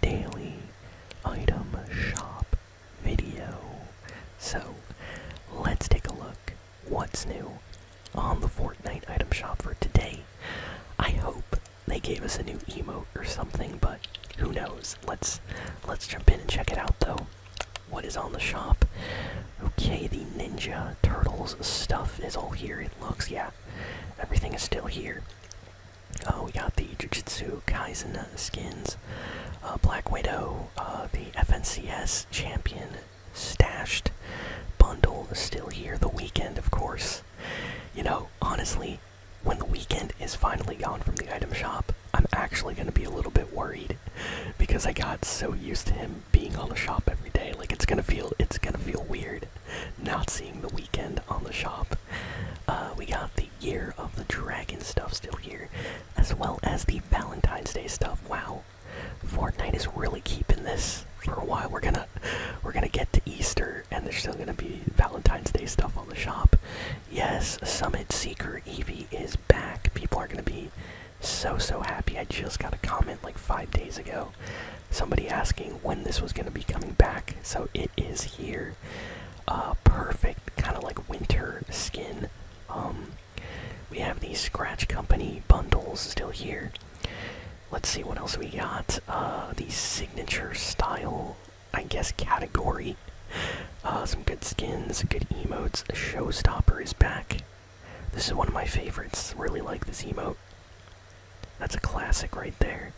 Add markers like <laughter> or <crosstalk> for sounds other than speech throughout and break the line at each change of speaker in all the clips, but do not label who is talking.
daily item shop video. So let's take a look what's new on the Fortnite item shop for today. I hope they gave us a new emote or something, but who knows? Let's let's jump in and check it out though. What is on the shop? Okay, the Ninja Turtles stuff is all here, it looks, yeah. Everything is still here. Oh, uh, we got the Jujutsu Kaisen skins, Black Widow, uh, the FNCS Champion Stashed bundle is still here. The weekend, of course. You know, honestly, when the weekend is finally gone from the item shop, I'm actually going to be a little bit worried because I got so used to him being on the shop every day. Like it's going to feel, it's going to feel weird not seeing the weekend on the shop. Uh, we got the Year of the Dragon stuff still here, as well as the Valentine's Day stuff. Wow, Fortnite is really keeping this for a while. We're gonna we're gonna get to Easter, and there's still gonna be Valentine's Day stuff on the shop. Yes, Summit Seeker Evie is back. People are gonna be so so happy. I just got a comment like five days ago somebody asking when this was going to be coming back, so it is here. Uh, perfect, kind of like winter skin. Um, we have these Scratch Company bundles still here. Let's see what else we got. Uh, the signature style, I guess, category. Uh, some good skins, good emotes. Showstopper is back. This is one of my favorites. Really like this emote. That's a classic right there.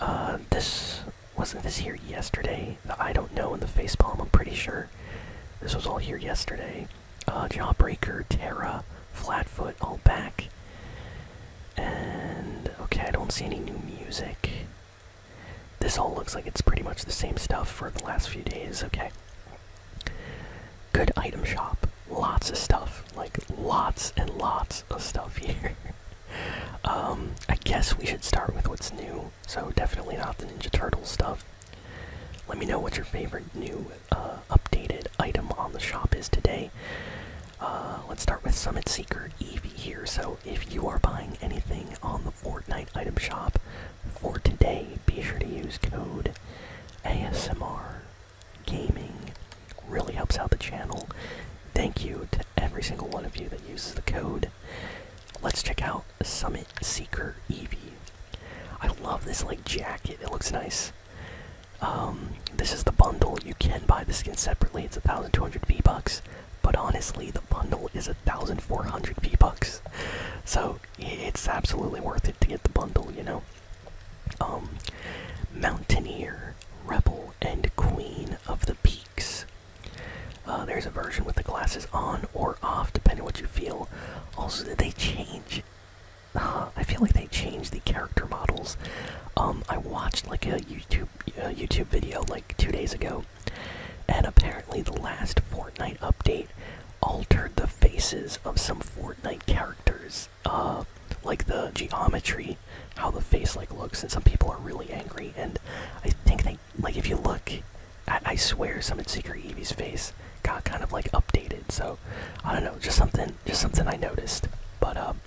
Uh, this wasn't this here yesterday. I don't know in the face palm. I'm pretty sure this was all here yesterday. Uh, Jawbreaker, Terra, Flatfoot, all back. And okay, I don't see any new music. This all looks like it's pretty much the same stuff for the last few days. Okay. Good item shop. Lots of stuff. Like, lots and lots of stuff <laughs> here. Um, I guess we should start with what's new. So, definitely not the Ninja Turtle stuff. Let me know what your favorite new uh, updated item on the shop is today. Uh, let's start with Summit Seeker Eevee here. So, if you are buying anything on the Fortnite item shop, for today, be sure to use code ASMR Gaming. Really helps out the channel. Thank you to every single one of you that uses the code. Let's check out Summit Seeker Eevee. I love this like jacket. It looks nice. Um, this is the bundle. You can buy the skin separately. It's 1,200 V-Bucks. But honestly, the bundle is 1,400 V-Bucks. So it's absolutely worth it to get the bundle, you know. Um, Mountaineer, Rebel, and Queen of the Peaks. Uh, there's a version with the glasses on or off, depending what you feel. Also, they change? Uh, I feel like they changed the character models. Um, I watched like a YouTube YouTube video like two days ago, and apparently the last Fortnite update altered the faces of some Fortnite characters, uh, like the geometry, how the face like looks, and some people are really angry. And I think they like if you look, I, swear, some secret Eevee's face got kind of like updated. So I don't know, just something, just something I noticed. But um,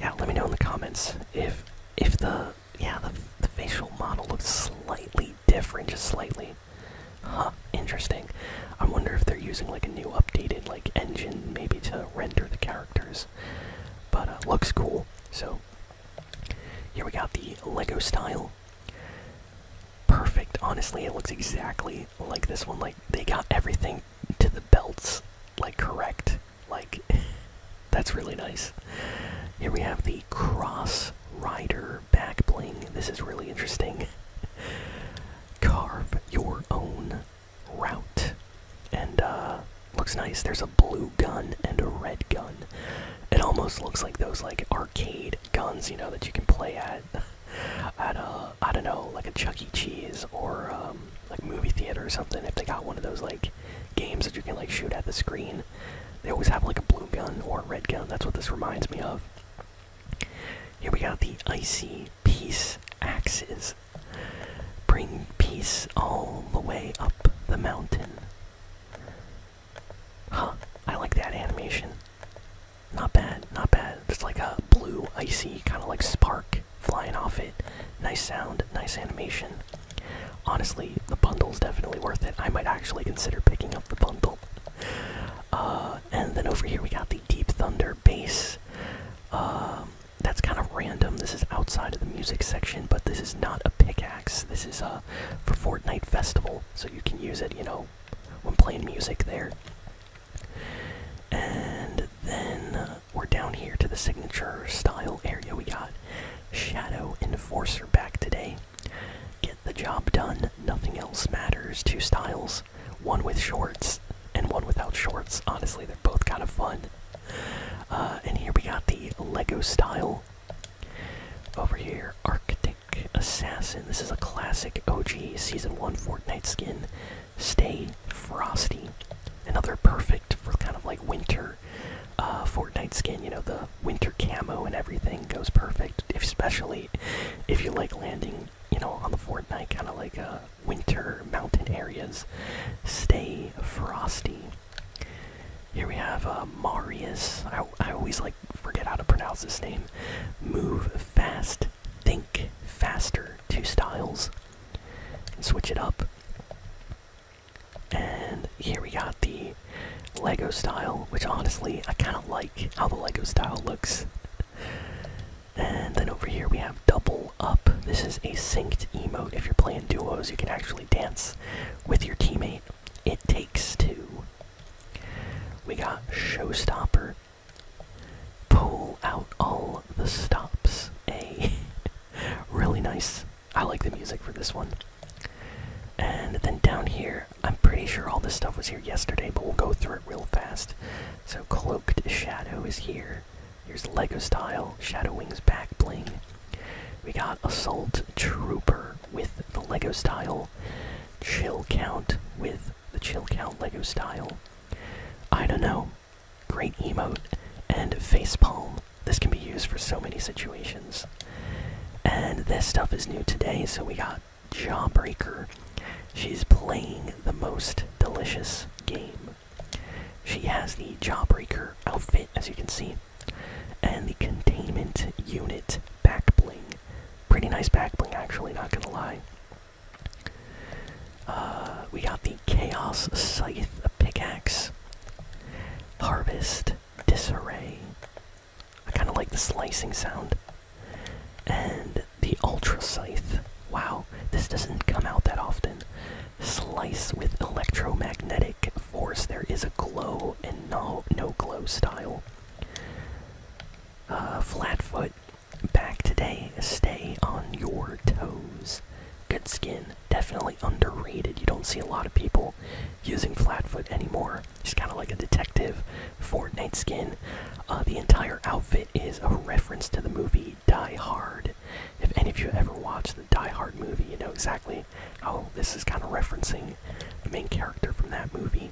yeah, let me know in the comments if if the yeah the, the facial model looks slightly different, just slightly. Huh, interesting. I wonder if they're using like a new updated like engine maybe to render the characters. But uh, looks cool. So here we got the Lego style. Perfect. Honestly, it looks exactly like this one. Like they got everything to the belts like correct. Like <laughs> that's really nice. Here we have the cross rider back bling. This is really interesting. <laughs> Carve your own route. And uh looks nice. There's a blue gun and a red gun. It almost looks like those like arcade guns, you know, that you can play at <laughs> at a uh, I don't know, like a Chuck E. Cheese or um, like movie theater or something. If they got one of those like games that you can like shoot at the screen, they always have like a blue gun or a red gun. That's what this reminds me of. Here we got the icy peace axes. Bring peace all the way up the mountain. Huh, I like that animation. Not bad, not bad. It's like a blue, icy, kind of like spark flying off it. Nice sound, nice animation. Honestly, the bundle is definitely worth it. I might actually consider picking up the bundle. Uh, and then over here we got the Deep Thunder bass. Um, that's kind of random. This is outside of the music section, but this is not a pickaxe. This is uh, for Fortnite Festival, so you can use it, you know, when playing music there. And then uh, we're down here to the signature style area we got Shadow Enforcer back today. Get the job done, nothing else matters. Two styles, one with shorts and one without shorts. Honestly, they're both kind of fun. Uh, and here we got the Lego style. Over here, Arctic Assassin. This is a classic OG Season 1 Fortnite skin. Stay frosty. Another perfect for kind of like winter uh, Fortnite skin. You know, the winter camo and everything goes perfect, especially if you like landing, you know, on the Fortnite kind of like uh, winter mountain areas. Stay frosty. Here we have uh, Marius. I, I always like forget how to pronounce this name. Move fast, think faster. Two styles. switch it up. And here we got the Lego style, which honestly I kind of like how the Lego style looks. and then over here we have Double Up. This is a synced emote. If you're playing duos, you can actually dance with your teammate. It takes two. We got Showstopper. Pull out all the stops. <laughs> A really nice. I like the music for this one. And then down here, I'm pretty sure all this stuff was here yesterday, but we'll go through it real fast. So, Cloaked Shadow is here. Here's Lego Style, Shadow Wings Back Bling. We got Assault Trooper with the Lego Style, Chill Count with the Chill Count Lego Style. I don't know. Great emote. And facepalm. This can be used for so many situations. And this stuff is new today, so we got Jawbreaker. She's playing the most delicious game. She has the Jawbreaker outfit, as you can see, and the containment unit back bling. Pretty nice back bling, actually, not gonna lie. Uh, we got the Chaos Scythe Pickaxe. Harvest. Disarray. I kind of like the slicing sound. And the Ultra Scythe. Wow, this doesn't come out that often. Slice with electromagnetic force. There is a glow and no, no glow style. Uh, Flatfoot back today. Stay on your toes. Good skin, definitely underrated. You don't see a lot of people using Flatfoot anymore. She's kind of like a detective Fortnite skin. Uh, the entire outfit is a reference to the movie Die Hard. If any of you ever watched the Die Hard movie, you know exactly how this is kind of referencing the main character from that movie.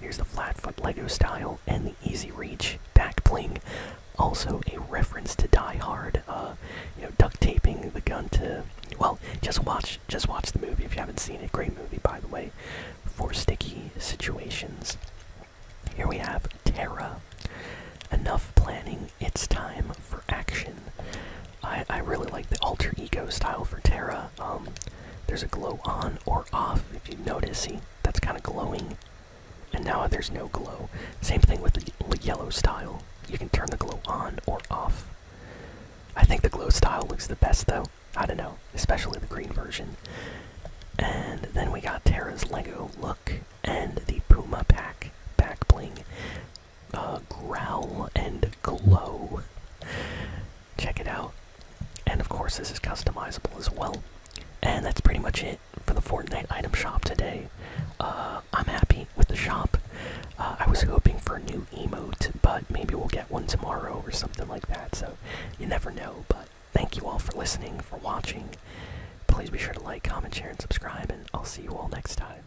Here's the Flatfoot Lego style and the easy reach back bling. Also a reference to Die Hard. Uh, you know, duct taping the gun to. Well, just watch, just watch the movie if you haven't seen it. Great movie, by the way. For sticky situations. Here we have Terra. Enough planning. It's time for action. I I really like the alter ego style for Terra. Um, there's a glow on or off. If you notice, that's kind of glowing. And now there's no glow. Same thing with the yellow style. You can turn the glow on or off. I think the glow style looks the best though. I don't know, especially the green version. And then we got Tara's Lego look and the Puma pack back bling, uh, growl and glow. Check it out. And of course, this is customizable as well. And that's pretty much it for the Fortnite item shop today. Uh, I'm happy with the shop. Uh, I was hoping for a new emote, but maybe we'll get one tomorrow or something like that, so you never know. But thank you all for listening, for watching. Please be sure to like, comment, share, and subscribe, and I'll see you all next time.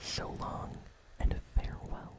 So long, and farewell.